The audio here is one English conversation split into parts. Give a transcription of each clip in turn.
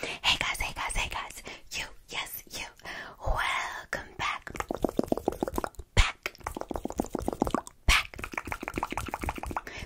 Hey guys, hey guys, hey guys. You, yes, you. Welcome back. Back. Back.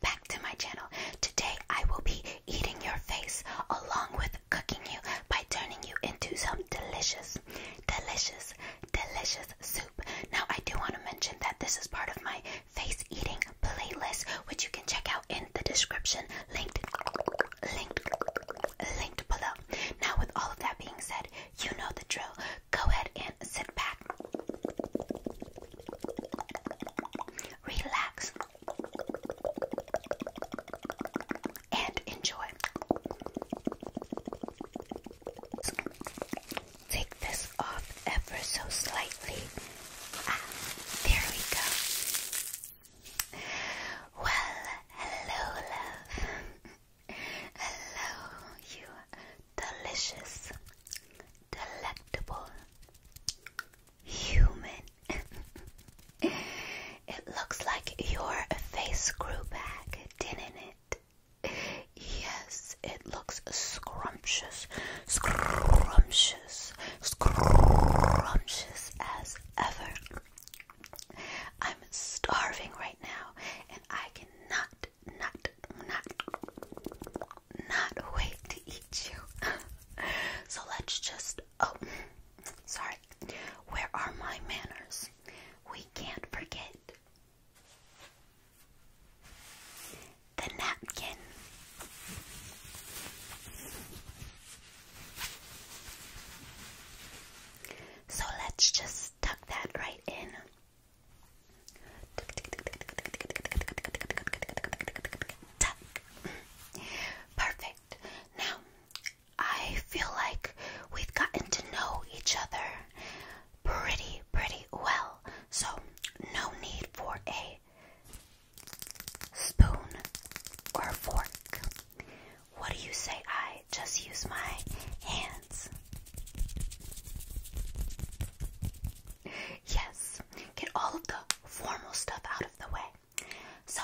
Back to my channel. Today I will be eating your face along with cooking you by turning you into some delicious, delicious, delicious soup. Now I do want to mention that this is part of my face eating playlist, which you can check out in the description linked linked linked below. Now with all of that being said, you know the drill. Go ahead and sit back. Relax and enjoy. Take this off ever so slightly. Ah, there we go. Well, hello, love. hello, you delicious, delectable human. it looks like your face grew back, didn't it? Yes, it looks scrumptious, scrumptious, scrumptious, as ever. I'm starving right now, and I cannot, not, not, not wait to eat you. so let's just. Oh, sorry. Where are my manners? We can't forget the napkin. So let's just tuck that right in. Tuck. Perfect. Now, I feel like we've gotten to know each other pretty, pretty well. So, no need for a spoon, or fork? What do you say? I just use my hands. Yes, get all of the formal stuff out of the way. So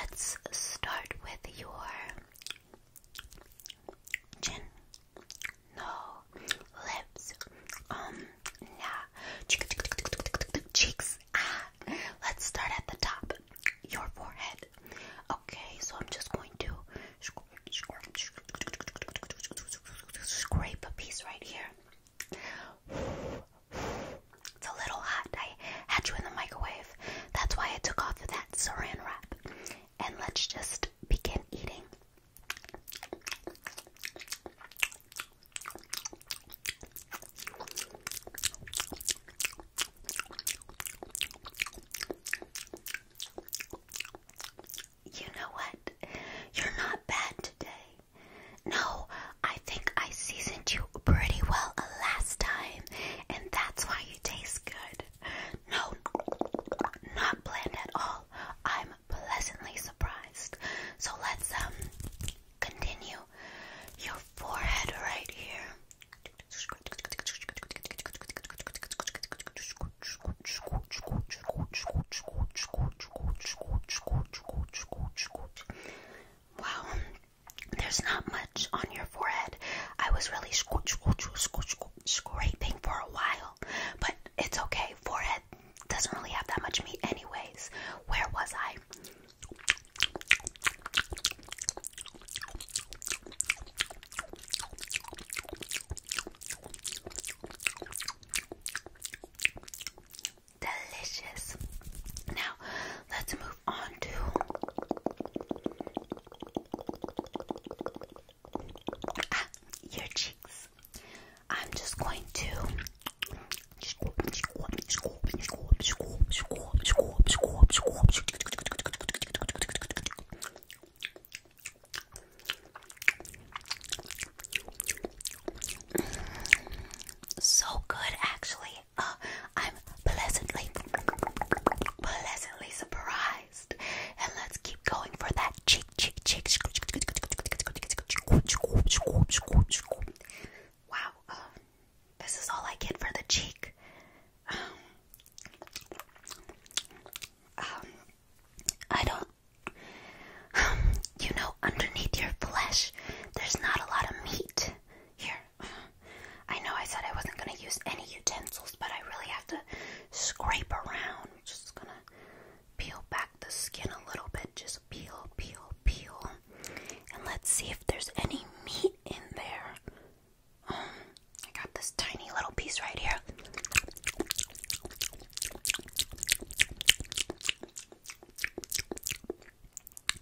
let's start with your chin no, lips, um, nah, cheeks, ah, let's start at the top, your forehead, okay, so I'm just going to scrape a piece right here, it's a little hot, I had you in the microwave, that's why I took off that saran wrap, and let's just begin eating. You know what? You're not bad today. No, I think I seasoned you pretty well last time, and that's why you taste good. No, not bland at all. I'm pleasantly surprised. So let's um continue. Your forehead right here. Wow, there's not much on your forehead. I was really scraping for a while, but it's okay. Forehead doesn't really have that much meat, anyways. Where was I? Delicious. Now, let's move on to ah, your cheeks. I'm just going to so good, actually. Uh, I'm pleasantly, pleasantly surprised realized. And let's keep going for that cheek, cheek, cheek. Wow, um, this is all I get for the cheek. Um, um, I don't. Um, you know, underneath your flesh, there's not a lot of meat. Here, I know I said I wasn't gonna use any utensils, but I really have to scrape around. I'm just gonna peel back the skin a little bit. Just peel, peel, peel. And let's see if there's any meat in there. Um, I got this tiny little piece right here.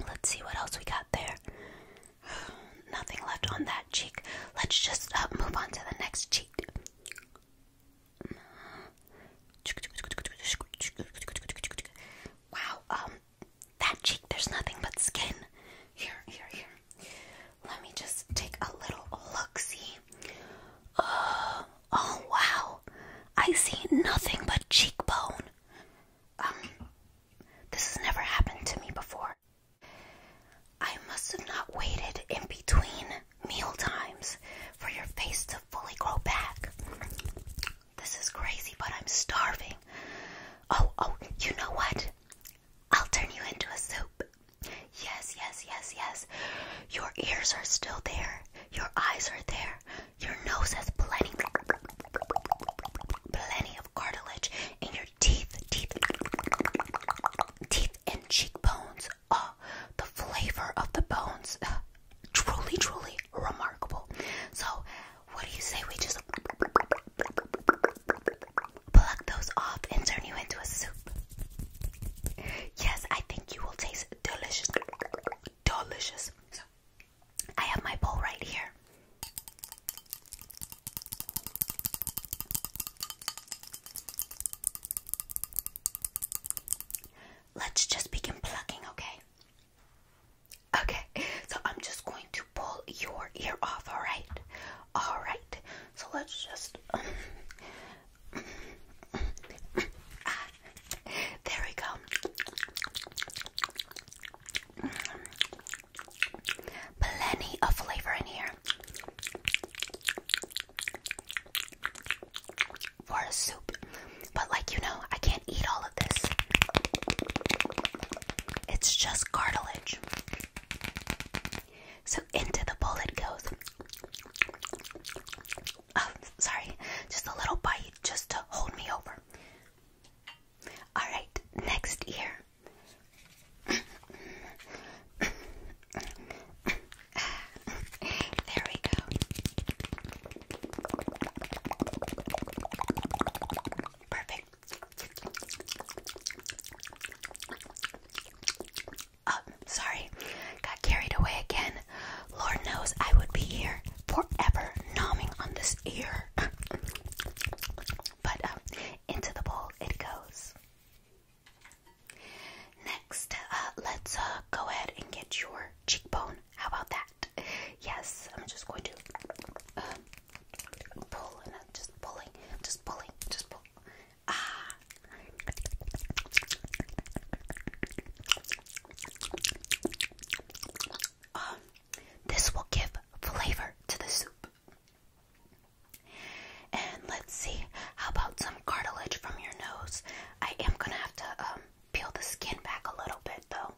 Let's see what else we got there. Nothing left on that cheek. Let's just uh, move on to the next cheek. Wow, um, that cheek, there's nothing but skin. Here, here, here. Let me just take a little look see. Uh, oh, wow. I see nothing but cheekbone. Um, this has never happened to me before. I must have not waited in between meal times for your face to fully grow back. This is crazy, but I'm starving. Oh, oh, you know what? I'll turn you into a soup. Yes, yes, yes, yes. Your ears are still there. Your eyes are there. Your nose has plenty plenty of cartilage and your teeth, teeth, teeth and cheekbones uh, the flavor of the bones, uh, truly, truly remarkable. So, what do you say we just pluck those off and turn you into a soup? Yes, I think you will taste delicious, delicious. So, I have my bowl right here. Let's just begin plucking, okay? Okay, so I'm just going to pull your ear off, alright? Alright, so let's just. there we go. Plenty of flavor in here for a soup. But, like, you know, I can't eat all of this. It's just cartilage. So, into the bowl it goes. Oh, sorry, just a little bite just to hold me over. Alright, next ear there we go. Perfect. Oh, sorry. Got carried away again. Lord knows I would be here forever nomming on this ear. but um, into the bowl it goes. Next, uh, let's uh, go ahead and get your cheekbone. How about that? Yes, I'm just going to uh, pull and I'm just pulling, just pulling, just pull. Ah. Um, this will give flavor to the soup. And let's see, how about some cartilage from your nose? I am gonna have to um, peel the skin back a little bit though.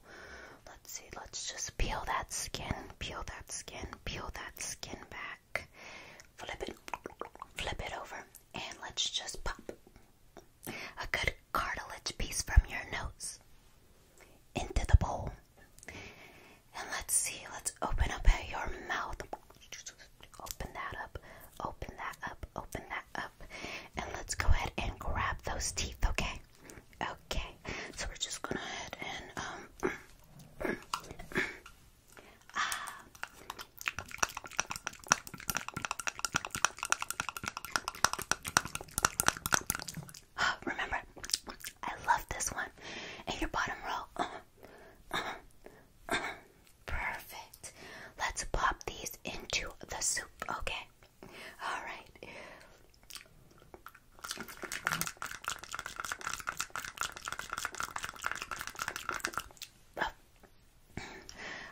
Let's see, let's just peel that skin, peel that skin, peel that skin back. Flip it, flip it over, and let's just pop a good cartilage piece from your nose into the bowl. And let's see, let's open up your mouth. Open that up, open that up, open that up. And let's go ahead and grab those teeth, okay? Okay, so we're just gonna head and, um, ah. Remember, I love this one. And your bottom row. Uh, uh, uh, perfect. Let's pop these into the soup, okay? All right.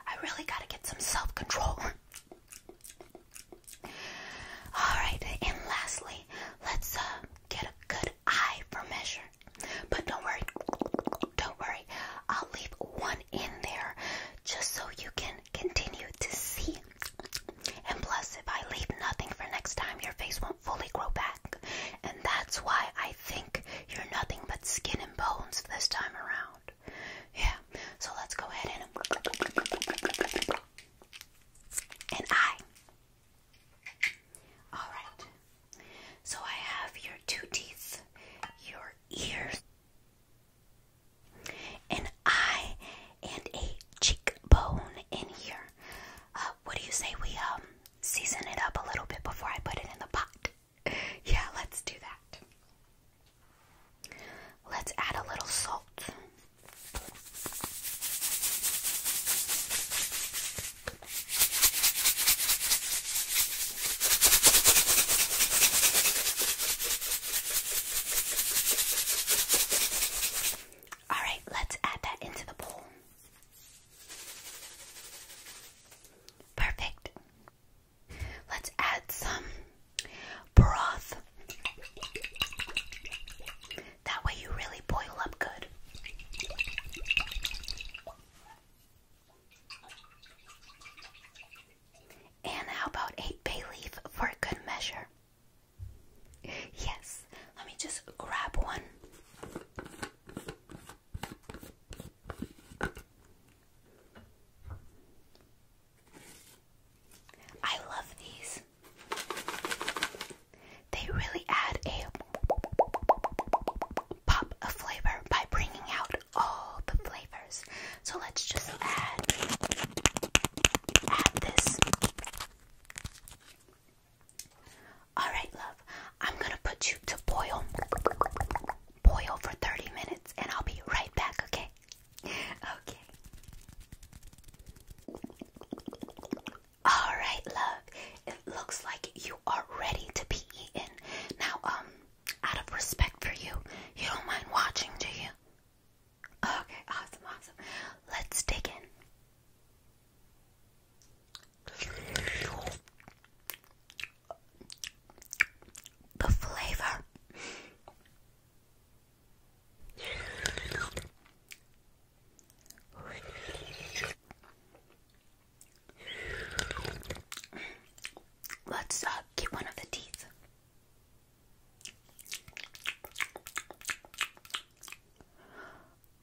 I really got to get some self control. All right, and lastly, let's get a good good for measure. But don't worry, don't worry. I'll leave one in there just so you can continue to see. And plus, if I leave nothing for next time, your face won't fully grow back. And that's why I think you're nothing but skin and bones this time around. Yeah, so let's go ahead and. And I Alright, so I have your two teeth, your ears, an eye, and a cheekbone in here. Uh, what do you say we um, season it up a little bit before I put it in the pot? yeah, let's do that. Let's add a little salt. All right, let's add that into the bowl. Perfect. Let's add some broth. That way you really boil up good. And how about a bay leaf for good measure? Yes, let me just grab one. I love these. They really add a pop of flavor by bringing out all the flavors. So let's just add add this. All right, love. I'm going to put you to boil. Boil for 30 minutes and I'll be right back, okay? Okay. Alright, love. It looks like you are ready to be eaten. Now, um, out of respect for you, you don't mind watching, do you? Okay, awesome, awesome. Let's dig in. The flavor Let's uh, get one of the teeth.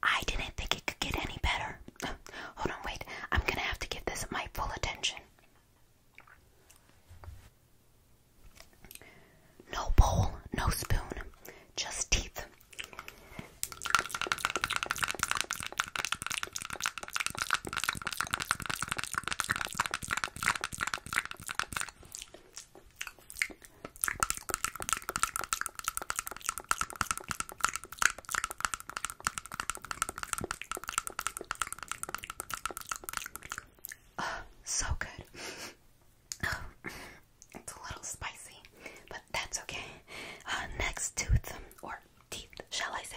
I didn't think it could get any better. Hold on, wait. I'm gonna have to give this my full attention. No bowl, no spoon, just teeth. Ah, so good. it's a little spicy, but that's okay. Uh, next tooth, or teeth, shall I say?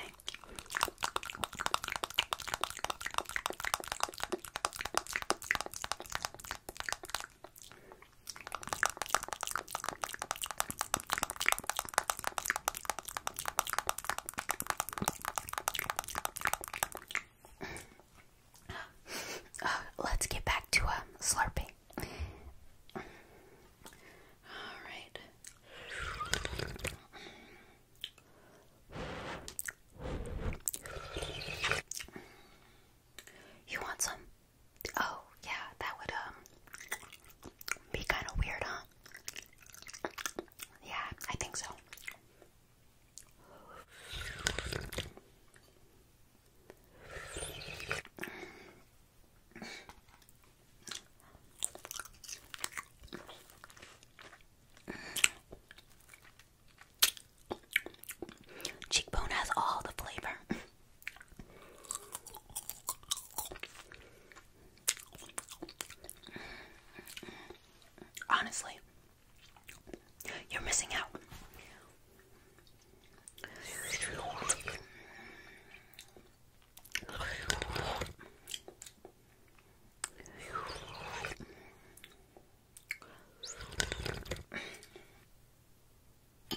Let's get back to um, slurping. All right. You want some? Oh, yeah, that would um be kind of weird, huh? Yeah, I think so. Cheekbone has all the flavor. Honestly, you're missing out.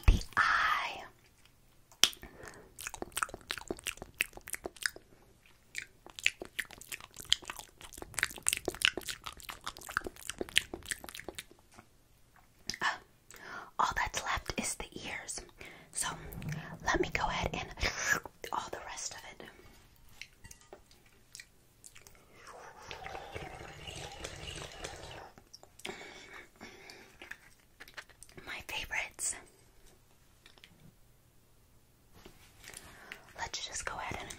The eye. Ah, all that's left is the ears. So let me go ahead and all the rest of it. My favorites. Let's just go ahead and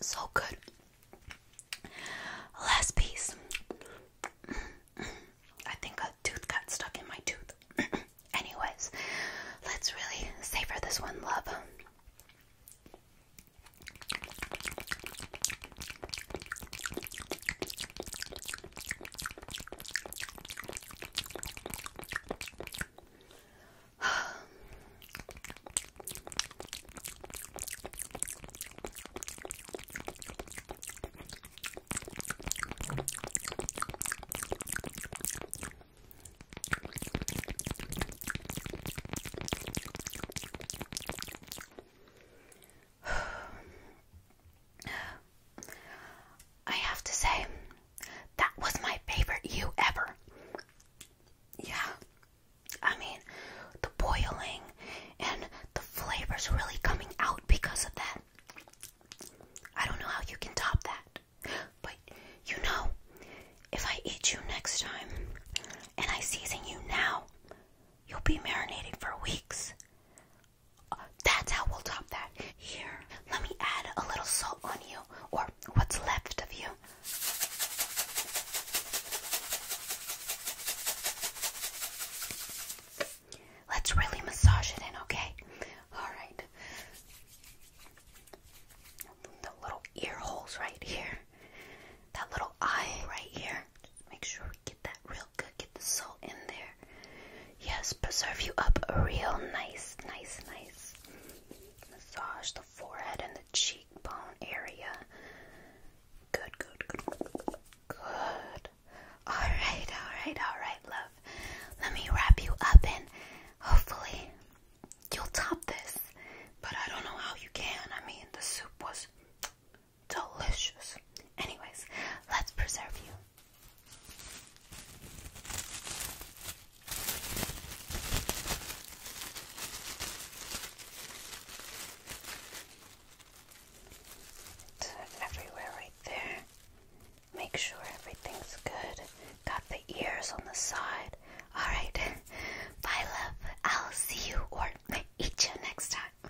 so good. Last piece. I think a tooth got stuck in my tooth. Anyways, let's really savor this one, love. I have to say, that was my favorite you ever. Yeah, I mean, the boiling and the flavors really coming out because of that. I don't know how you can top that. But you know, if I eat you next time and I season you now, you'll be marinating for weeks. Uh, that's how we'll top that. Here, let me add a little salt on you, or what's left of you. Let's really massage it in, okay? Alright. The little ear holes right here. That little eye right here. make sure we get that real good. Get the salt in there. Yes, preserve you up real nice, nice, nice. Massage the forehead and the cheekbone area. Good, good, good. Good. Alright, alright, alright, love. Let me wrap you up and hopefully you'll top this. But I don't know how you can. I mean, the soup was delicious. Anyways, let's preserve you. It's everywhere right there. Make sure everything's good. Got the ears on the side. Alright. Bye, love. I'll see you or eat you next time.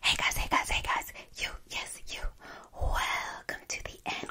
hey guys, hey guys, hey guys. You, yes, you. Welcome to the end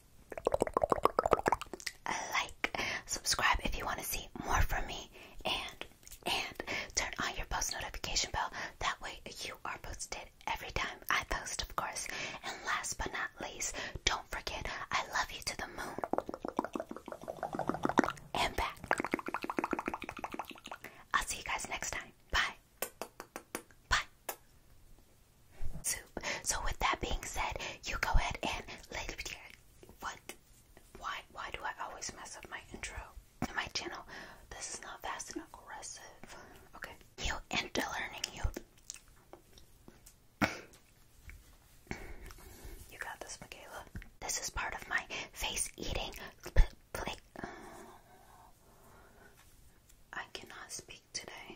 like, subscribe if you want to see more from me, and and turn on your post notification bell. That way you are posted every time I post, of course. And last but not least, don't forget I love you to the moon and back. I'll see you guys next time. Bye. Bye. So with that being said, you go ahead and lay what why why do I always mess up my intro to my channel? This is not fast and aggressive. Okay. You into learning you You got this, Michaela. This is part of my face eating I cannot speak today.